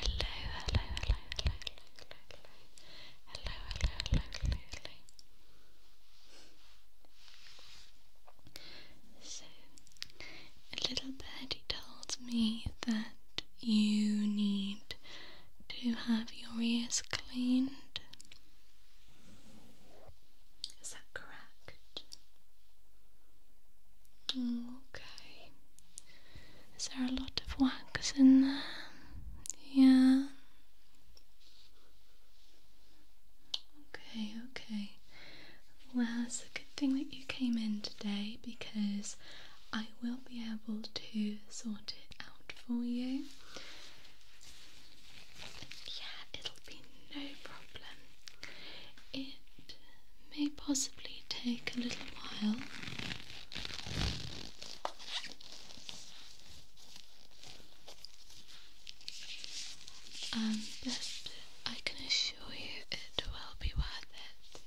hello, hello, hello, hello, hello, hello, hello, hello, hello. So, a little birdie told me that you need to have your ears cleaned. Is that correct? Okay. Is there a lot of wax in there? Yeah. Okay, okay. Well, it's a good thing that you came in today because I will be able to sort it out for you. Yeah, it'll be no problem. It may possibly take a little while. but I can assure you it will be worth it.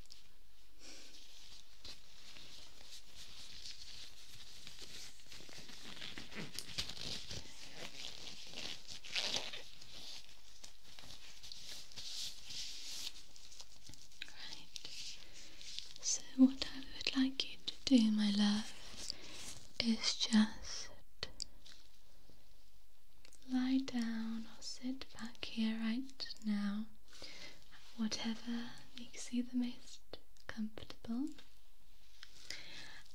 Right. So, what I would like you to do, my love, is just lie down or sit back here right now, whatever makes you the most comfortable,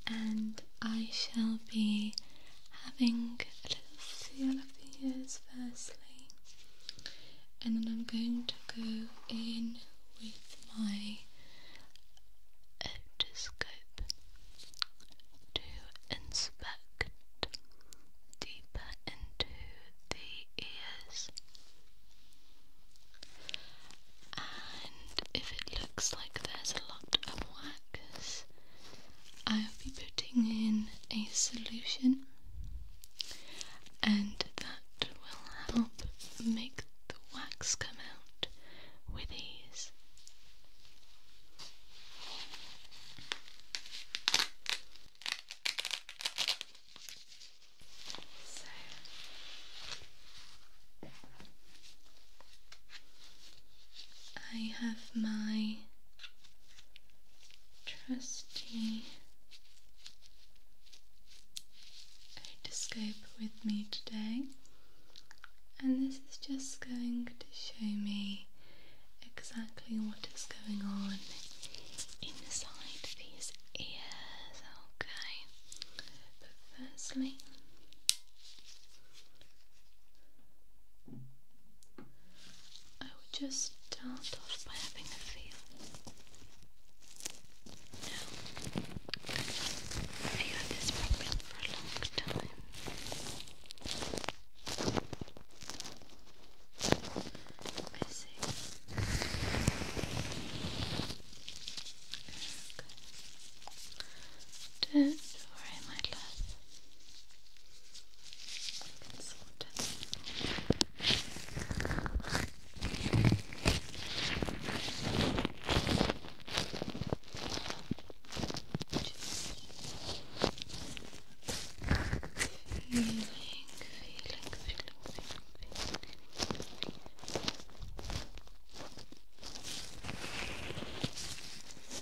and I shall be having a little seal of the ears firstly, and then I'm going to go in with my otoscope to inspect deeper into the ears. And if it looks like there's a lot of wax, I'll be putting in a solution and that will help make the wax come out with ease. I have my trusty otoscope with me today, and this is just going to show me exactly what is going on inside these ears, okay? But firstly, I would just start off by having a feel. Now, you had this problem for a long time. I see. Okay. Don't worry, my love. I Feeling, feeling, feeling, feeling, feeling.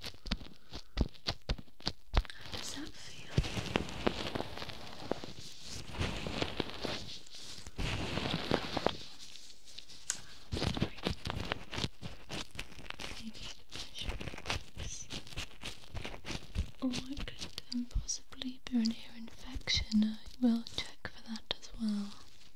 How does that feel? Or it could oh possibly be an ear infection. I will check for that as well.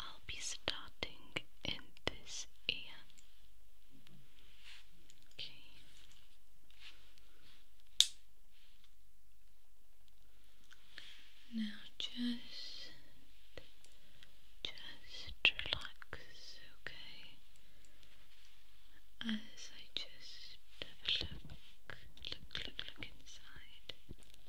I'll be starting in this ear. Okay. Now just just relax, okay? As I just look, look, look, look inside.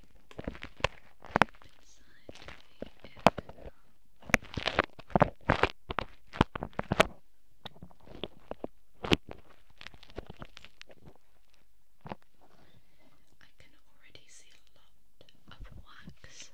I can already see a lot of wax.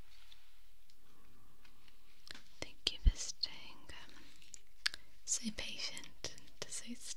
Thank you for staying um, so patient and so still.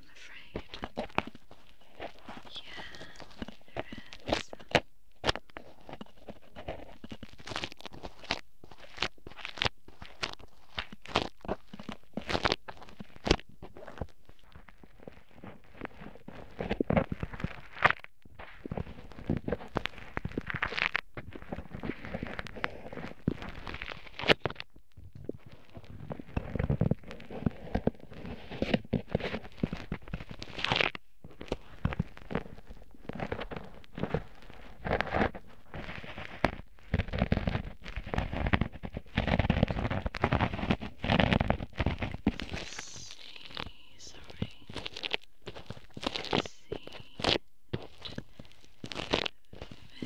I'm afraid. Yeah, there is see, sorry.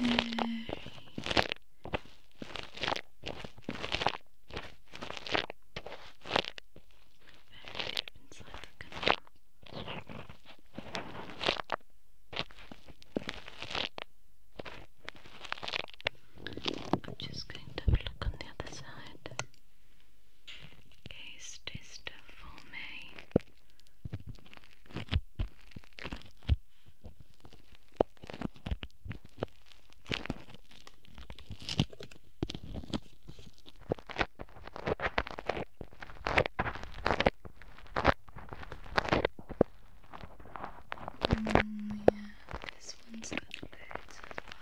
Let's see. Very I'm just going to look on the other side. Okay, stay for me. Mm, yeah, this one's got birds as well.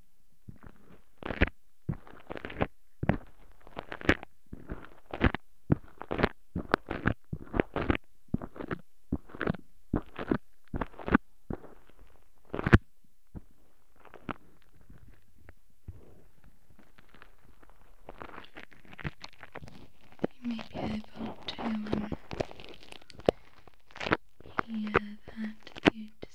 You may be able to hear that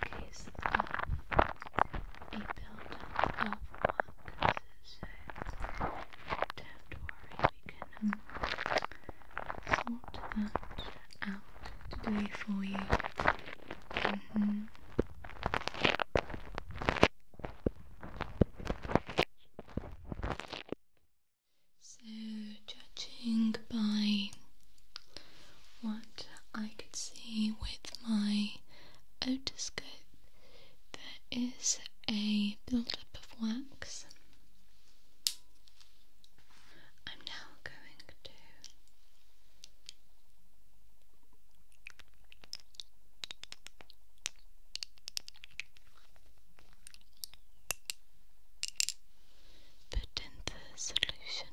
case of uh, a buildup of mucus, so don't have to worry, we can um, sort that out today for you. Mm-hmm. So, judging by what I could see with my otoscope, there is a buildup of wax. I'm now going to put in the solution.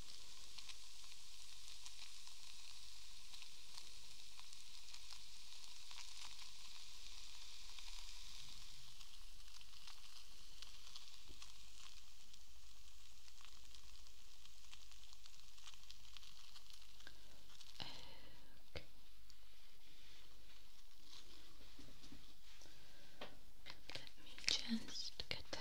Okay. Let me just get there.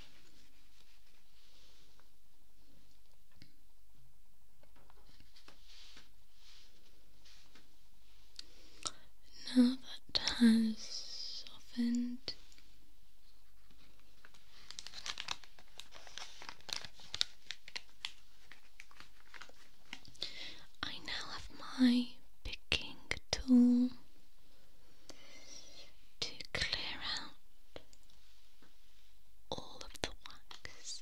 Now that has softened. I now have my picking tool to clear out all of the wax.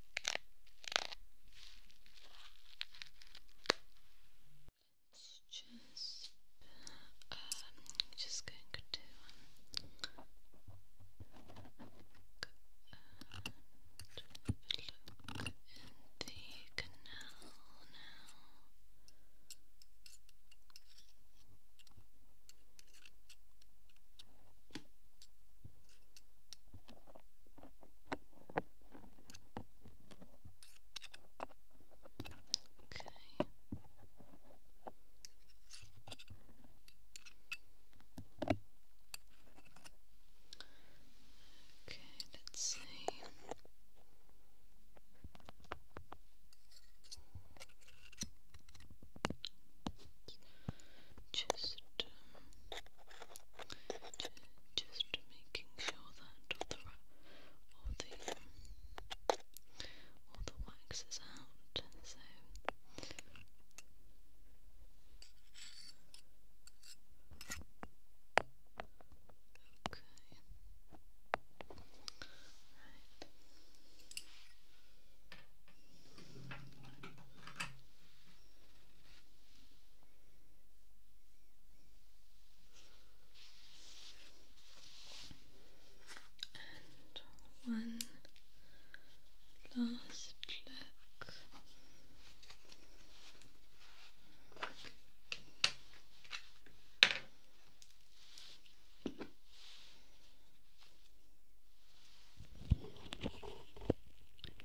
It's just, um, just going to um, look in the canal now. Okay, let's see. Just just making sure that all the all the wax is out. So okay, right. And one last look. Let's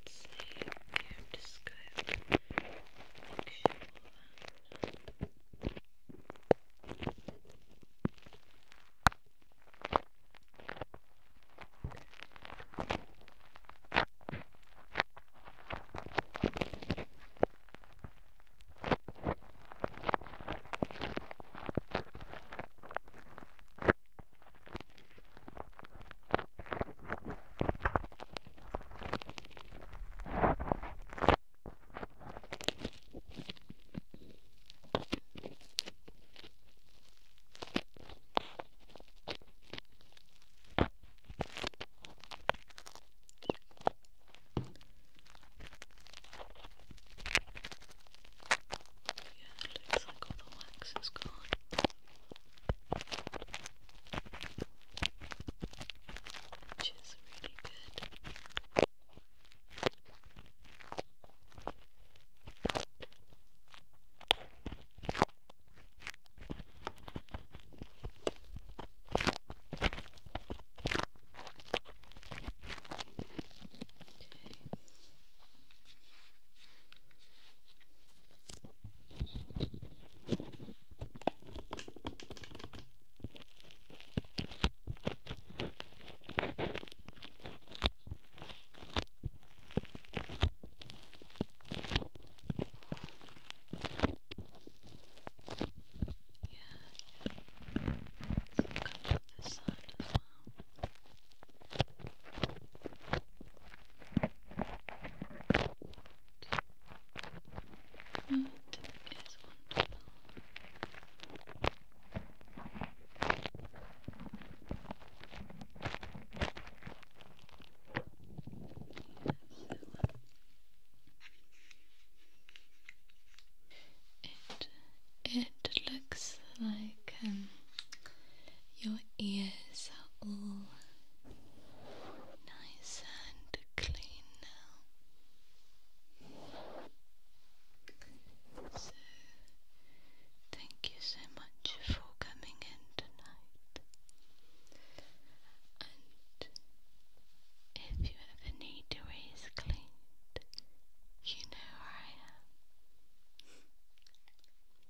see, I'm just going to make sure that Okay. Yeah, it looks like all the wax is gone which is really good. Okay. Let's come to this side as well. That is wonderful. Yes, it it looks like um, your ears are all nice and clean now. So, thank you so much for coming in tonight. And if you ever need your ears cleaned, you know where I am.